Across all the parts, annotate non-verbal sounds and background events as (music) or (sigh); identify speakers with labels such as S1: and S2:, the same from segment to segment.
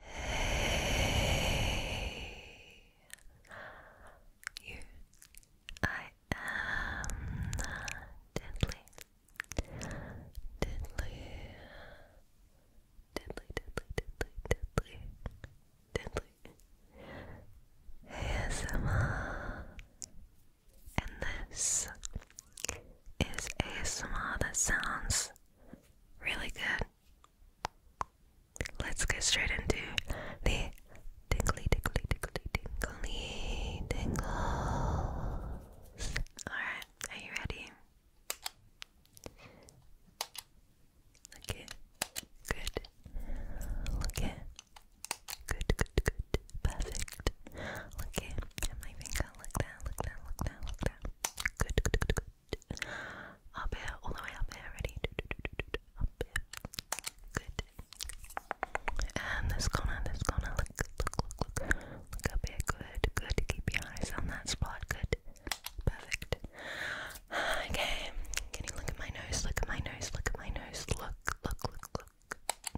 S1: Hey, (sighs) you. I am deadly, deadly, deadly, deadly, deadly, deadly, deadly. ASMR, and this is ASMR that sounds really good. Let's get straight into the tingly, tingly, tingly, tingly, tingles. Alright, are you ready? Look it. Good. Look it. Good, good, good. Perfect. Look it. At my finger. Look down, look down, look down, look down. Good, good, good, good. Up here, all the way up here, ready? Up here. Good. And this corner, this corner, look, look, look, look. Look up here, good, good. Keep your eyes on that spot, good. Perfect. Okay, can you look at my nose? Look at my nose, look at my nose. Look, look, look, look.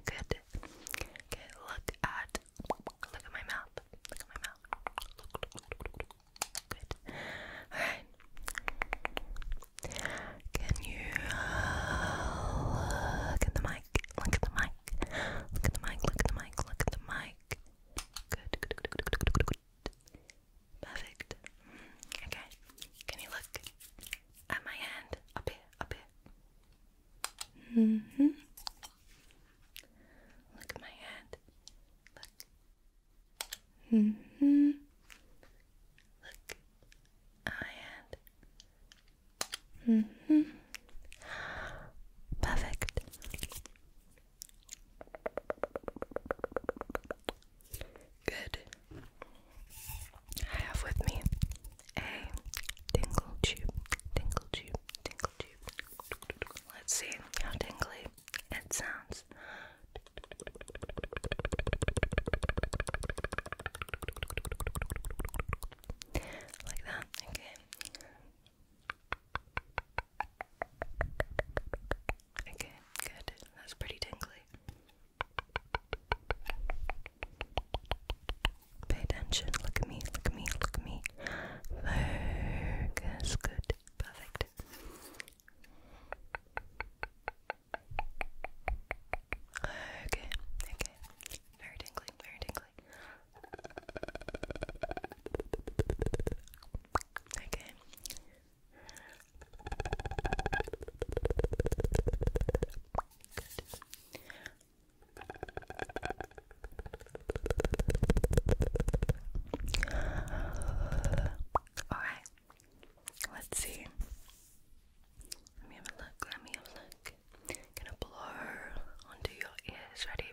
S1: Good. Okay, look at, look at my mouth. Look at my mouth. Good. Alright. Can you uh, look at the mic? Look at the mic. Look at the mic, look at the mic, look at the mic. Good, good, good, good, good, Perfect. Okay. Can you look at my hand? Up here, up here. Mm hmm. Look at my hand. Look. Mm hmm. Look my hand. Mm hmm. Perfect. Good. I have with me a tingle tube, tingle tube, tingle Let's see how tingly it sounds. Like that, okay. Okay, good. That's pretty tingly. Pay attention. Look at me, look at me, look at me. Focus. Good. Perfect. Okay. Okay. Very tingly. Very tingly. Okay. Good. Alright, let's see. Let me have a look, let me have a look. gonna blow onto your ears, ready?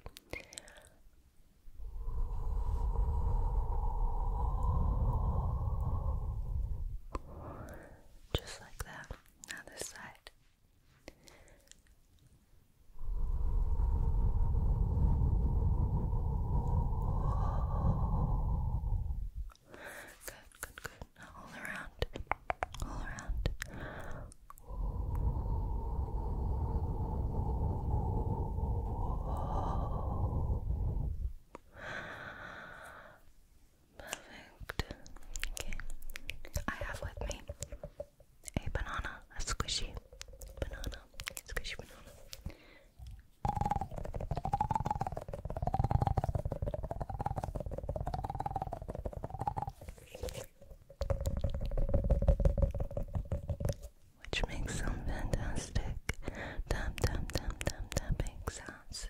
S1: Just like that. Now this side. Good, good, good. all around. All around. Perfect. Okay. I have with me a banana, a squishy banana, squishy banana. Which makes some fantastic tap tap tap tap tapping sounds.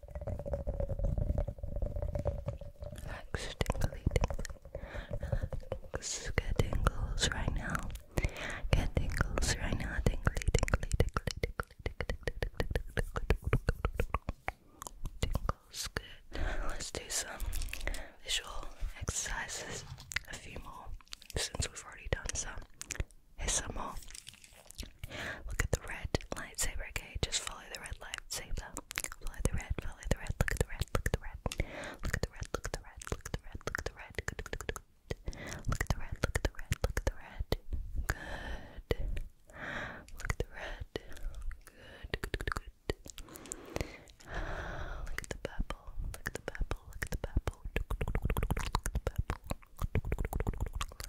S1: Relax, tingly, tingly. Relax, get tingles right now. Get tingles right now. Tingly, tingly, tingly, tingly, tingly, tingles. Let's do some visual exercises. A few more since we've already done some. Hisamo. Look at the red lightsaber, okay? Just follow the red lightsaber. Follow the red, follow the red, look at the red, look at the red. Look at the red, look at the red, look at the red, look at the red. Look at the red, look at the red, look at the red. Good. Look at the red. Good, good, good, Look at the purple, look at the purple, look at the purple. Look at the purple, Look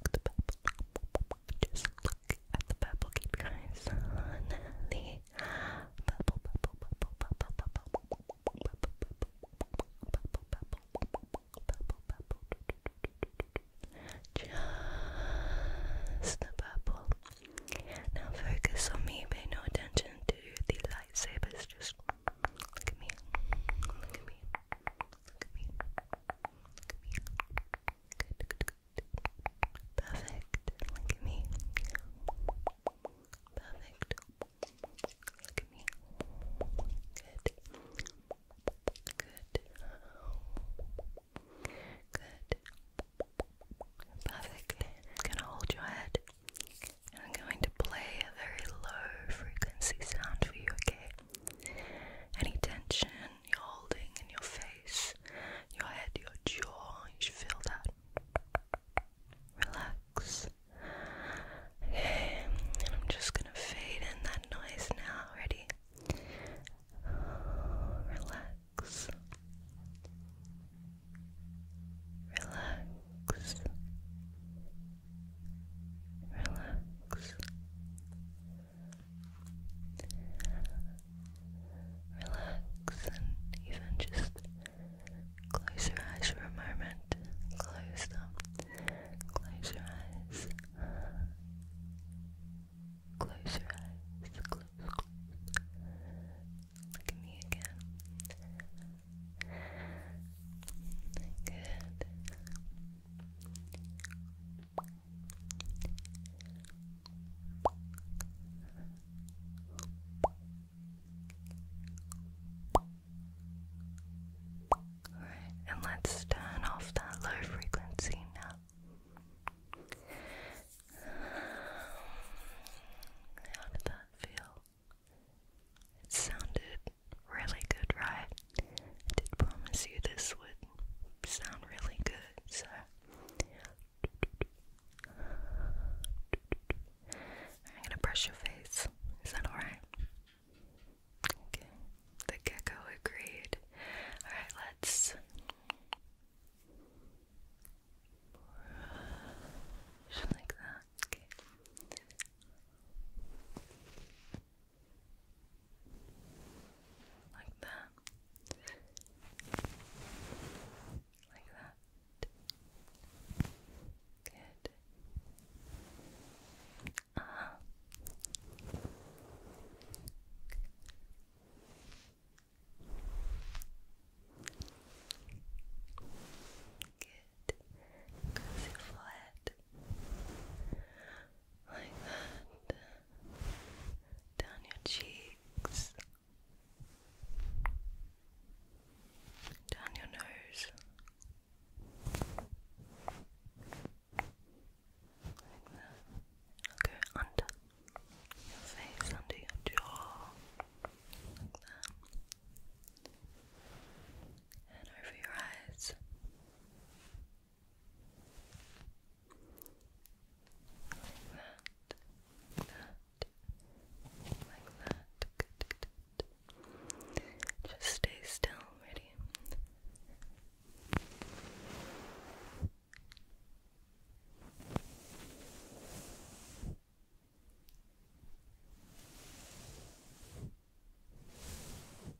S1: at the purple. Just look at the purple. Keep your eyes on the purple, purple, purple, purple, purple, purple, purple, purple, purple, purple, purple. Just the purple. Now focus on me. Pay no attention to the lightsabers. Just look at me. Look at me. Look at me. Look at me. Look at me. Good, Perfect. Look at me. Perfect. Look at me. Good. Good. Good. Perfectly. I'm gonna hold your head. And I'm going to play a very low frequency sound for you, okay? Any tension you're holding in your face, your head, your jaw, you should feel that. Relax. Okay, I'm just gonna fade in that noise now. Ready? Relax. Relax relax relax and even just close your eyes for a moment close them close your eyes close your eyes look at me again Good and let's turn off that low frequency now. How did that feel? It sounded really good, right? I did promise you this would sound really good, so. I'm gonna brush your face. Is that alright? Okay, the gecko agreed. Alright, let's. like that. Okay. Like that. Like that. Good. Uh -huh. Good. forehead like that, down your cheeks, down your nose, like that. Go under your face, under your jaw, and over your eyes. Like that, that, like that. Just stay still, ready?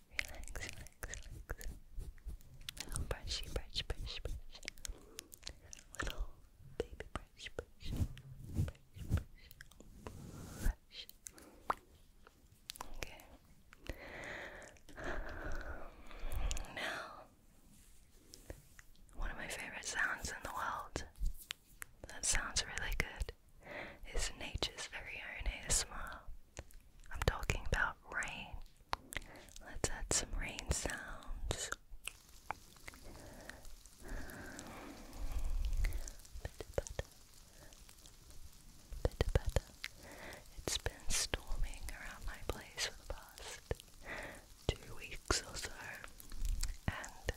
S1: Relax, relax, relax. Little brush, brush, brush. Little baby brush, brush, brush, brush, Okay. Now, one of my favorite sounds in the world that sounds really good is nature's very own smile. I'm talking about rain. Let's add some rain sounds. Bitter butter. Bitter butter. It's been storming around my place for the past two weeks or so, and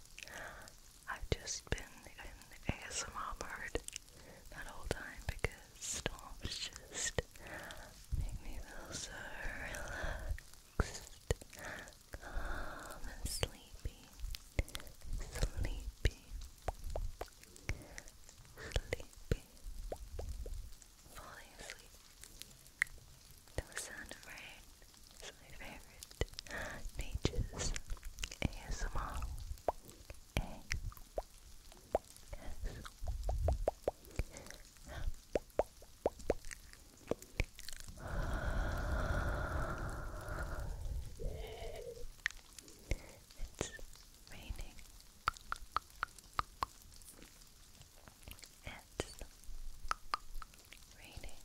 S1: I've just been in ASMR mode that whole time because storms just make me feel so relaxed, and sleepy, sleepy, sleepy, falling asleep. The sound of rain is my favorite nature's ASMR it's raining. It's raining.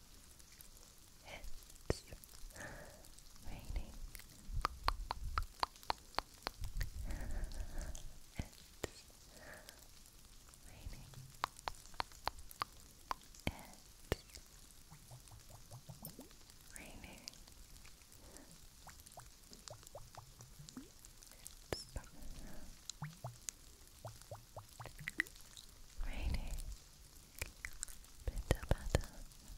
S1: It's raining. It's raining. It's raining. It's raining. Bitter butter.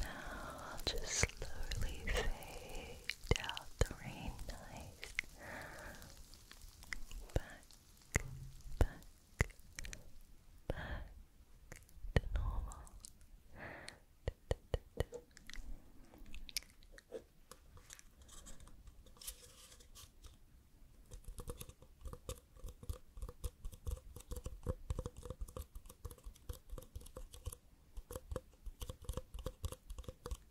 S1: Now I'll just slowly fade wait out the rain nice. Back, back, back to normal.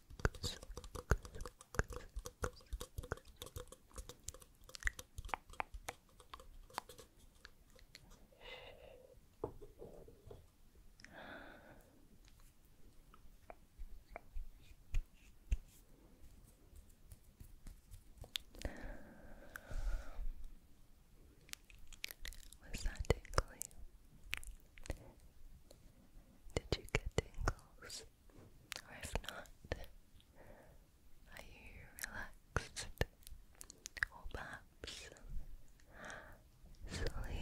S1: Was that tickly? Did you get tingles? Or if not, are you relaxed? Or perhaps sleepy?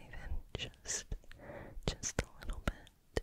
S1: Even just, just a little bit.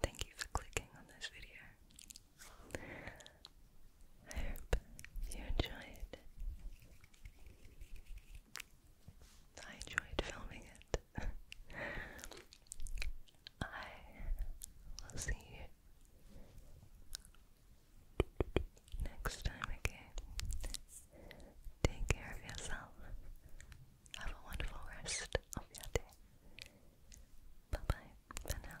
S1: Thank you for clicking on this video. I hope you enjoyed. I enjoyed filming it. (laughs) I will see you next time, okay? Take care of yourself. Have a wonderful rest of your day. Bye bye for now.